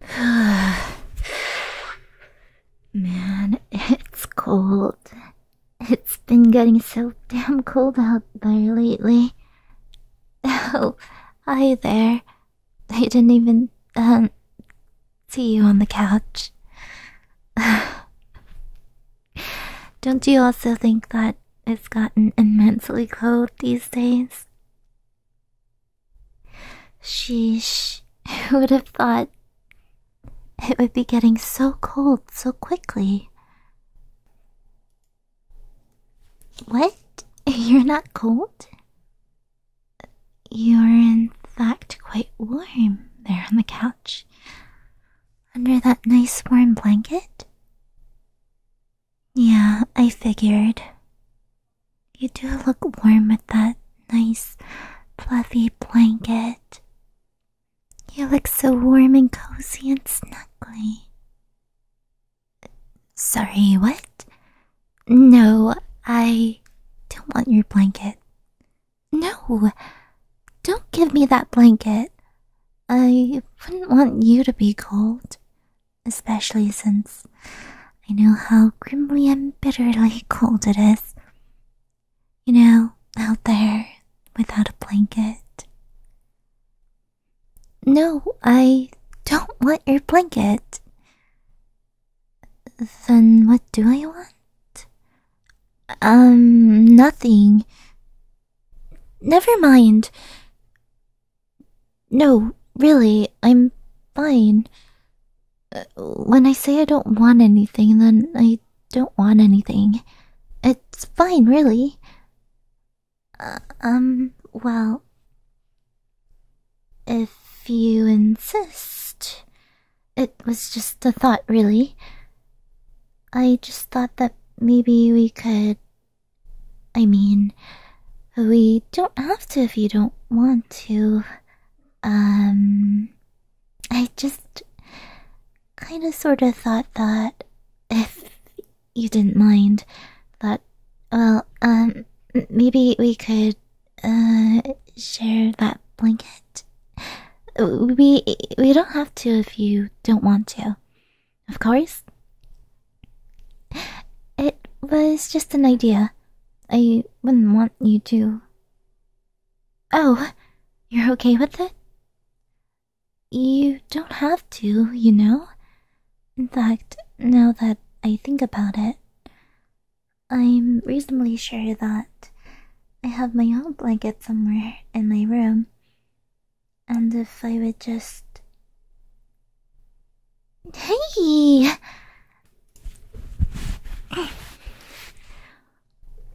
Man, it's cold. It's been getting so damn cold out there lately. Oh, hi there. I didn't even, um, see you on the couch. Don't you also think that it's gotten immensely cold these days? Sheesh, who would have thought it would be getting so cold so quickly? What? You're not cold? You're in fact quite warm there on the couch. Under that nice warm blanket? Yeah, I figured. You do look warm with that nice, fluffy blanket. You look so warm and cozy and snuggly. Sorry, what? No, I don't want your blanket. No, don't give me that blanket. I wouldn't want you to be cold especially since I know how grimly and bitterly cold it is. You know, out there without a blanket. No, I don't want your blanket. Then what do I want? Um, nothing. Never mind. No, really, I'm fine. Uh, when I say I don't want anything, then I don't want anything. It's fine, really. Uh, um, well, if you insist, it was just a thought, really. I just thought that maybe we could. I mean, we don't have to if you don't want to. Um. I just kind of sort of thought that if you didn't mind, that, well, um, maybe we could, uh, share that blanket. We, we don't have to if you don't want to. Of course. It was just an idea. I wouldn't want you to. Oh, you're okay with it? You don't have to, you know. In fact, now that I think about it, I'm reasonably sure that I have my own blanket somewhere in my room. And if I would just Hey!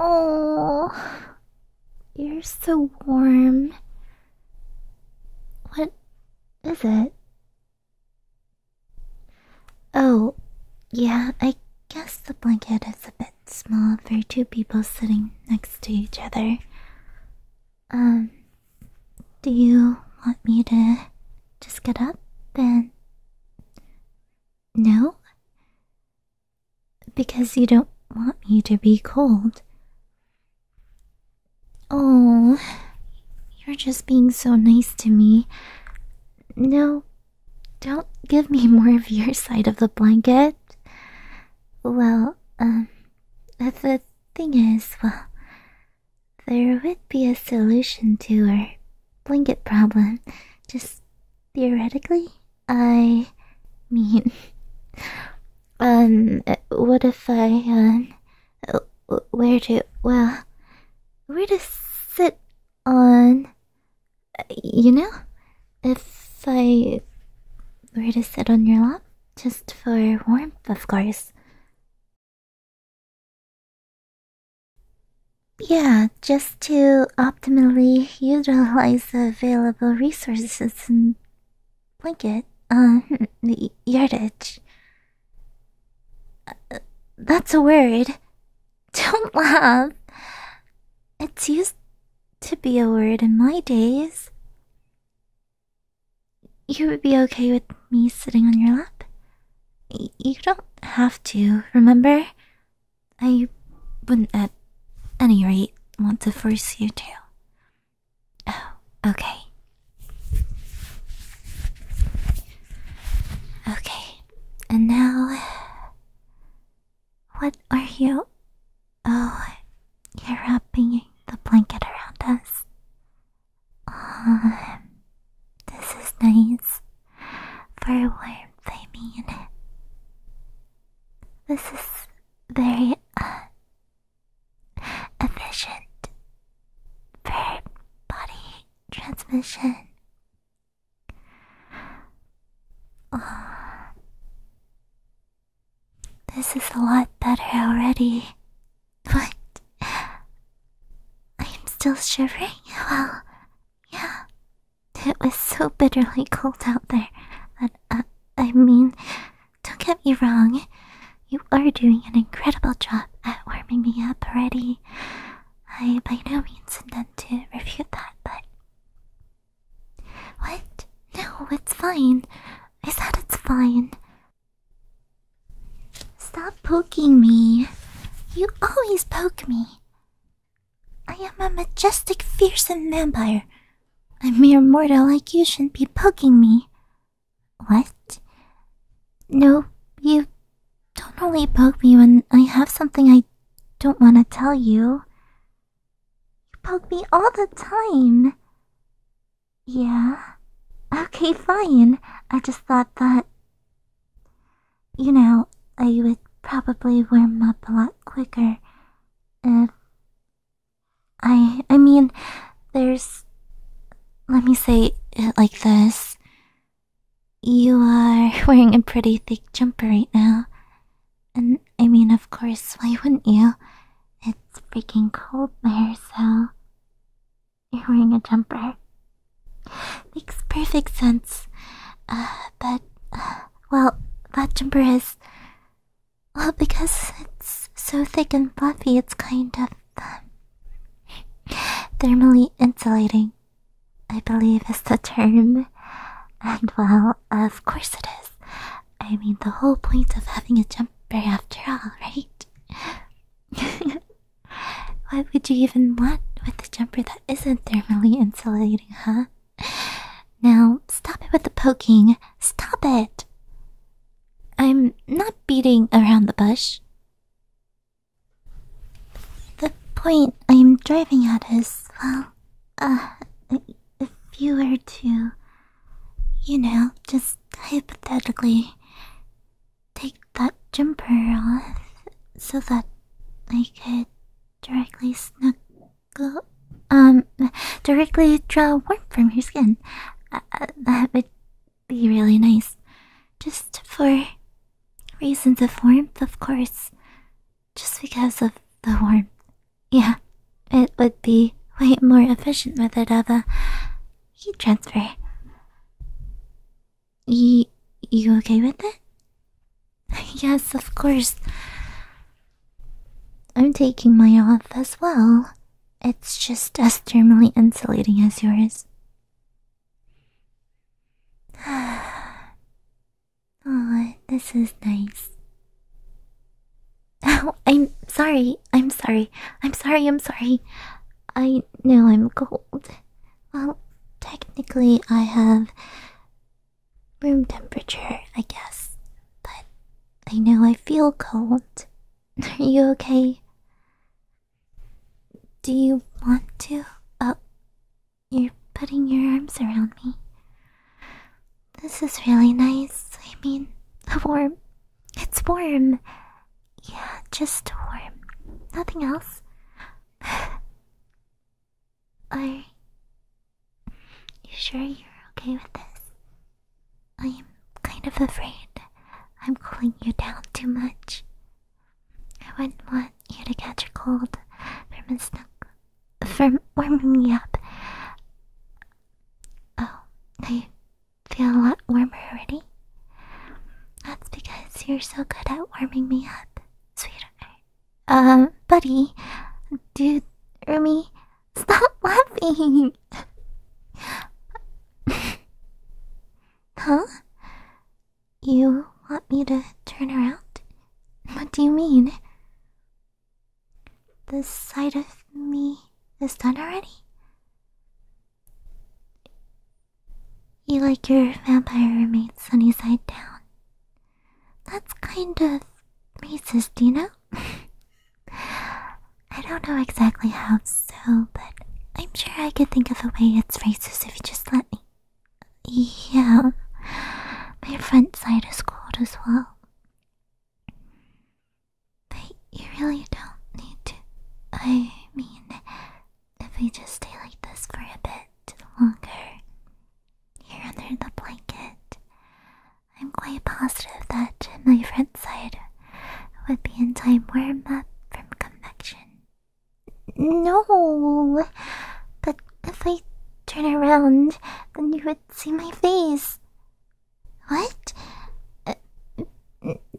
oh, you're so warm. What is it? Oh, yeah, I guess the blanket is a bit small for two people sitting next to each other. Um, do you want me to just get up and. No? Because you don't want me to be cold. Oh, you're just being so nice to me. No, don't give me more of your side of the blanket. Well, um, the thing is, well, there would be a solution to our blanket problem. Just theoretically, I mean, um, what if I, um, where to, well, where to sit on, you know, if I were to sit on your lap, just for warmth, of course. Yeah, just to optimally utilize the available resources and blanket, uh, yardage. Uh, that's a word. Don't laugh. It's used to be a word in my days. You would be okay with me sitting on your lap? You don't have to, remember? I wouldn't at any rate want to force you to. Oh, okay. Okay, and now. What are you? Oh, you're wrapping the blanket around us. Uh, this is nice. For warmth, I mean. This is very uh, efficient for body transmission. Uh, this is a lot better already. What? I'm still shivering? Well, yeah. It was so bitterly cold out there that, uh, I mean, don't get me wrong, you are doing an incredible job at warming me up already. I by no means intend to refute that, but. What? No, it's fine. I said it's fine. Stop poking me. You always poke me. I am a majestic, fearsome vampire. A mere mortal like you shouldn't be poking me. What? No, you don't only poke me when I have something I don't want to tell you. You poke me all the time. Yeah. Okay, fine. I just thought that you know, I would probably warm up a lot quicker if. I. I mean, there's. Let me say it like this. You are wearing a pretty thick jumper right now. And I mean, of course, why wouldn't you? It's freaking cold there, so. You're wearing a jumper. Makes perfect sense. Uh, but, uh, well, that jumper is. Well, because it's so thick and fluffy, it's kind of um, thermally insulating, I believe is the term. And well, of course it is. I mean, the whole point of having a jumper, after all, right? What would you even want with a jumper that isn't thermally insulating, huh? Now, stop it with the poking. Stop it! I'm not beating around the bush. The point I'm driving at is, well, uh, if you were to, you know, just hypothetically take that jumper off so that I could directly snuggle, um, directly draw warmth from your skin. Uh, uh, that would be really nice. Just for reasons of warmth, of course. Just because of the warmth. Yeah, it would be way more efficient method of a heat transfer. Y you okay with it? yes, of course. I'm taking my off as well. It's just as thermally insulating as yours. oh, this is nice. Oh, I'm sorry. I'm sorry. I'm sorry. I'm sorry. I know I'm cold. Well, technically, I have room temperature, I guess, but I know I feel cold. Are you okay? Do you want to? Oh, you're putting your arms around me. This is really nice. I mean, warm. It's warm. Yeah, just warm. Nothing else. Are you sure you're okay with this? I'm kind of afraid I'm cooling you down too much. I wouldn't want you to catch a cold from a snook from warming me up. Oh, I feel a lot warmer already? That's because you're so good at warming me up, sweetheart. Um, buddy, dude, Rumi, stop laughing! huh? You want me to turn around? What do you mean? The side of me is done already? You like your vampire roommate sunny side down. That's kind of racist, you know? I don't know exactly how so, but I'm sure I could think of a way it's racist if you just let me. Yeah, my front side is cold as well. But you really don't need to. I mean, if we just stay like this for a bit longer here under the blanket, I'm quite positive that my front side would be in time warm up from convection. No, but if I turn around, then you would see my face. What? Uh,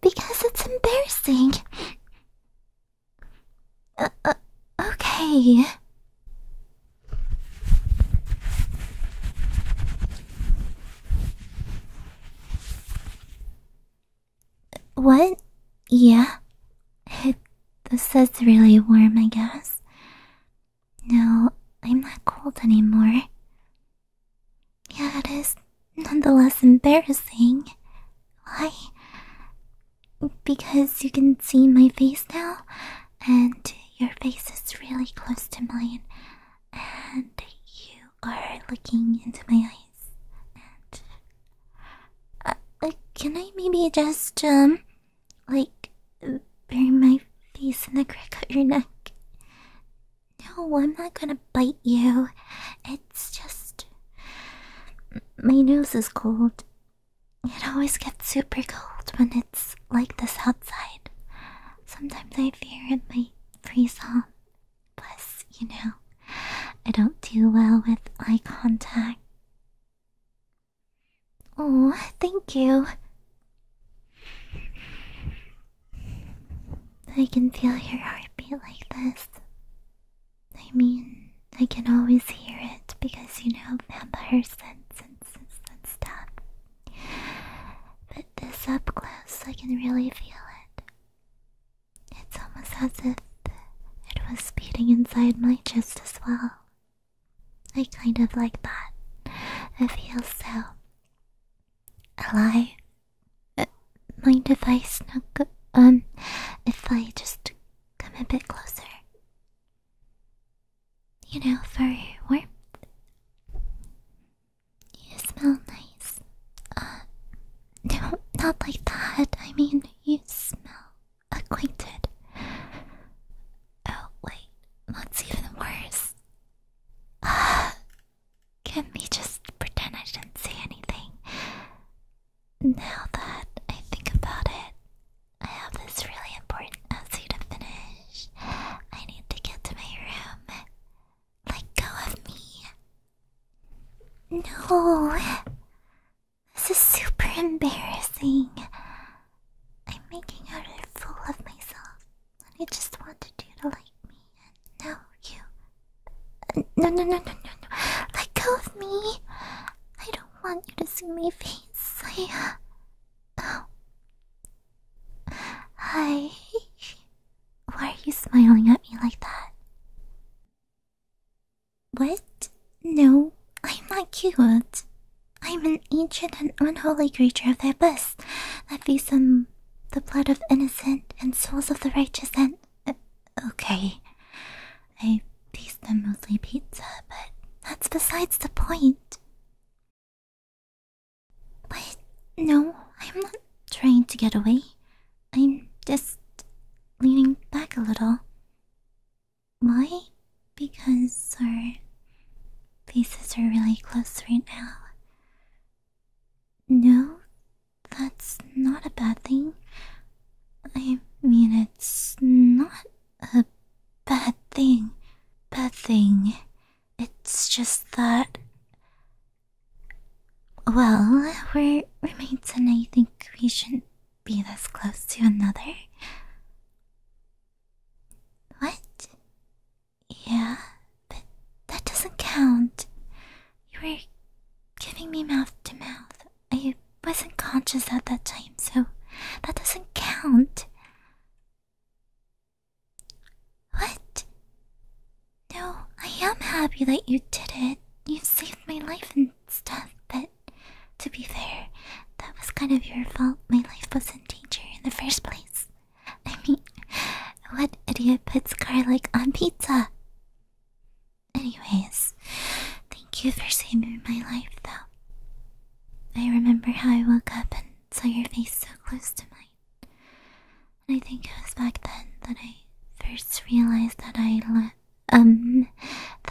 because it's embarrassing okay. What? Yeah. It, this is really warm, I guess. No, I'm not cold anymore. Yeah, it is nonetheless embarrassing. Why? Because you can see my face now, and your face is really close to mine, and you are looking into my eyes. And uh, uh, can I maybe just um, like, bury my face in the crack of your neck? No, I'm not gonna bite you. It's just. My nose is cold. It always gets super cold when it's like this outside. Sometimes I fear it might freeze on. Plus, you know, I don't do well with eye contact. Oh, thank you. I can feel your heartbeat like this. I mean, I can always hear it because you know vampires sense and, and stuff. But this up close, I can really feel it. It's almost as if it was beating inside my chest as well. I kind of like that. I feel so alive mind if I snuggle? Um, if I just come a bit closer? You know, for warmth. You smell nice. Uh, no, not like that. I mean, you smell acquainted. Oh, wait, that's even worse. Can we just pretend I didn't say anything? Now that I think about it, I have this really important essay to finish. I need to get to my room. Let go of me. No! This is super embarrassing. I'm making out a fool of myself, and I just wanted you to like me. No, you. No, no, no, no, no, no. Let go of me. I don't want you to see my face. I. Uh... Oh. Hi. Why are you smiling at me like that? What? No, I'm not cute. I'm an ancient and unholy creature of thy bust that feasts on the blood of innocent and souls of the righteous and. Uh, Okay. I taste them mostly pizza, but that's besides the point. But no, I'm not trying to get away. I'm just leaning back a little. Why? Because our faces are really close right now. No, that's not a bad thing. I mean, it's not a bad thing. Bad thing. It's just that. Well, we're roommates, and I think we shouldn't be this close to another. What? Yeah, but that doesn't count. You were giving me mouth to mouth. I wasn't conscious at that time, so that doesn't count. What? No, I am happy that you did it. You saved my life and stuff, but to be fair, that was kind of your fault. My life was in danger in the first place. I mean, what idiot puts garlic on pizza? Anyways, thank you for saving my life though. I remember how I woke up and saw your face so close to mine. I think it was back then that I first realized that I let um,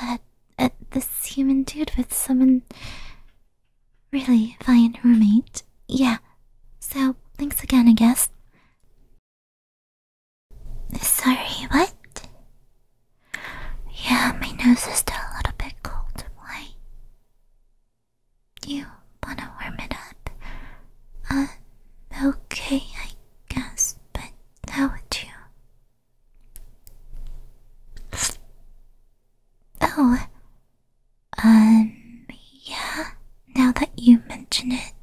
that uh, this human dude was someone really fine roommate. Yeah, so thanks again, I guess. Sorry, what? Yeah, my nose is still a little bit cold. Why? You wanna warm it up? Uh, okay, I guess, but how would you? Oh, um, yeah, now that you mention it,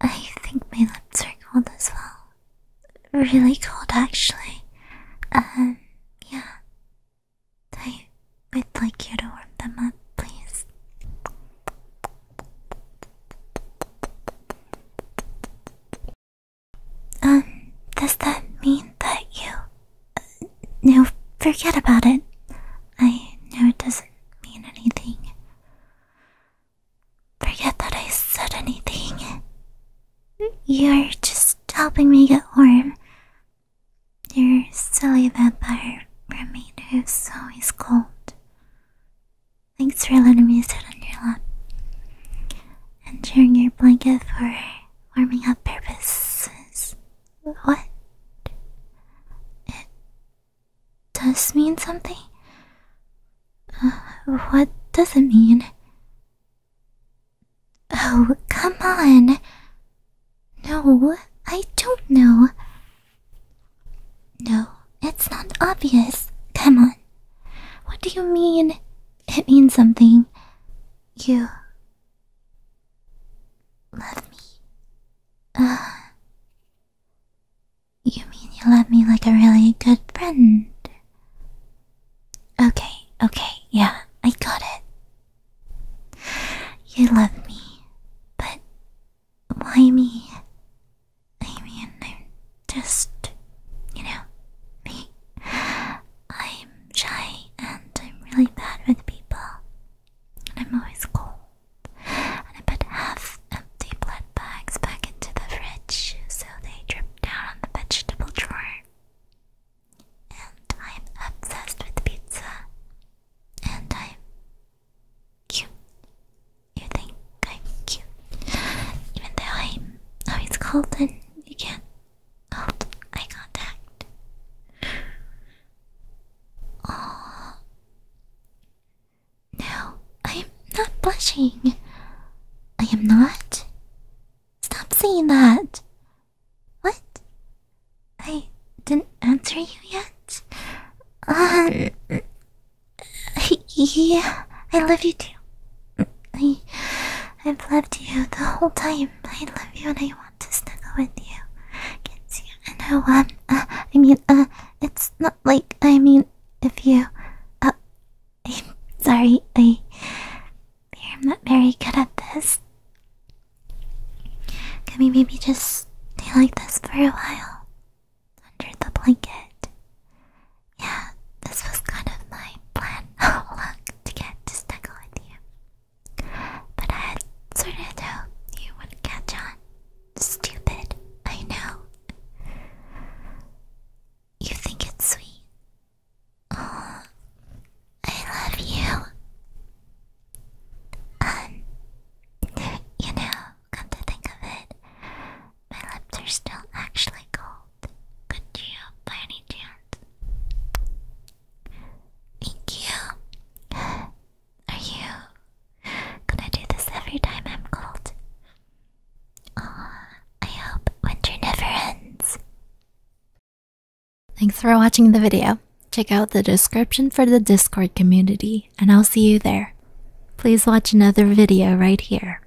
I think my lips are cold as well. Really cold, actually. Um, yeah. I would like you to warm them up, please. Um, does that mean that you. Uh, no, forget about it. I know it doesn't mean anything forget that I said anything. You're just helping me get warm. You're silly that bar mermaid who's always cold. Thanks for letting me sit on your lap and sharing your blanket for warming up purposes. What? does mean something? Uh, what does it mean? Oh, come on. No, I don't know. No, it's not obvious. Come on. What do you mean? It means something. You love me. Uh, you mean you love me like a really good friend? Okay, okay, yeah, I got it. You love me, but why me? I mean, I'm just, you know, me. I'm shy and I'm really bad with people. And I'm always cold. And I put half empty blood bags back into the fridge so they drip down on the vegetable drawer. And I'm obsessed with pizza. And I'm cute. You think I'm cute. Even though I'm always cold and you can't hold eye contact. Aww. No, I am not blushing. I am not. Stop saying that. What? I didn't answer you yet? Uh, yeah, I love you too. I, have loved you the whole time. I love you and I want to snuggle with you. Kiss you. And oh, um, uh, I mean, uh, it's not like I mean, if you. Uh, I'm sorry, I. I'm not very good at this. Can we maybe just stay like this for a while? Under the blanket. Yeah, this was kind of my plan all along oh, to get to snuggle with you. But I sort of hoped you would catch on. Stupid, I know. You think it's sweet. Oh, I love you. Um, you know, come to think of it, my lips are still actually cold. Could you, by any chance? Thank you. Are you gonna do this every time I'm called? Aw, I hope winter never ends. Thanks for watching the video. Check out the description for the Discord community, and I'll see you there. Please watch another video right here.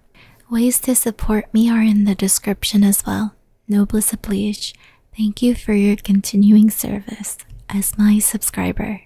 Ways to support me are in the description as well. Noblesse oblige, thank you for your continuing service as my subscriber.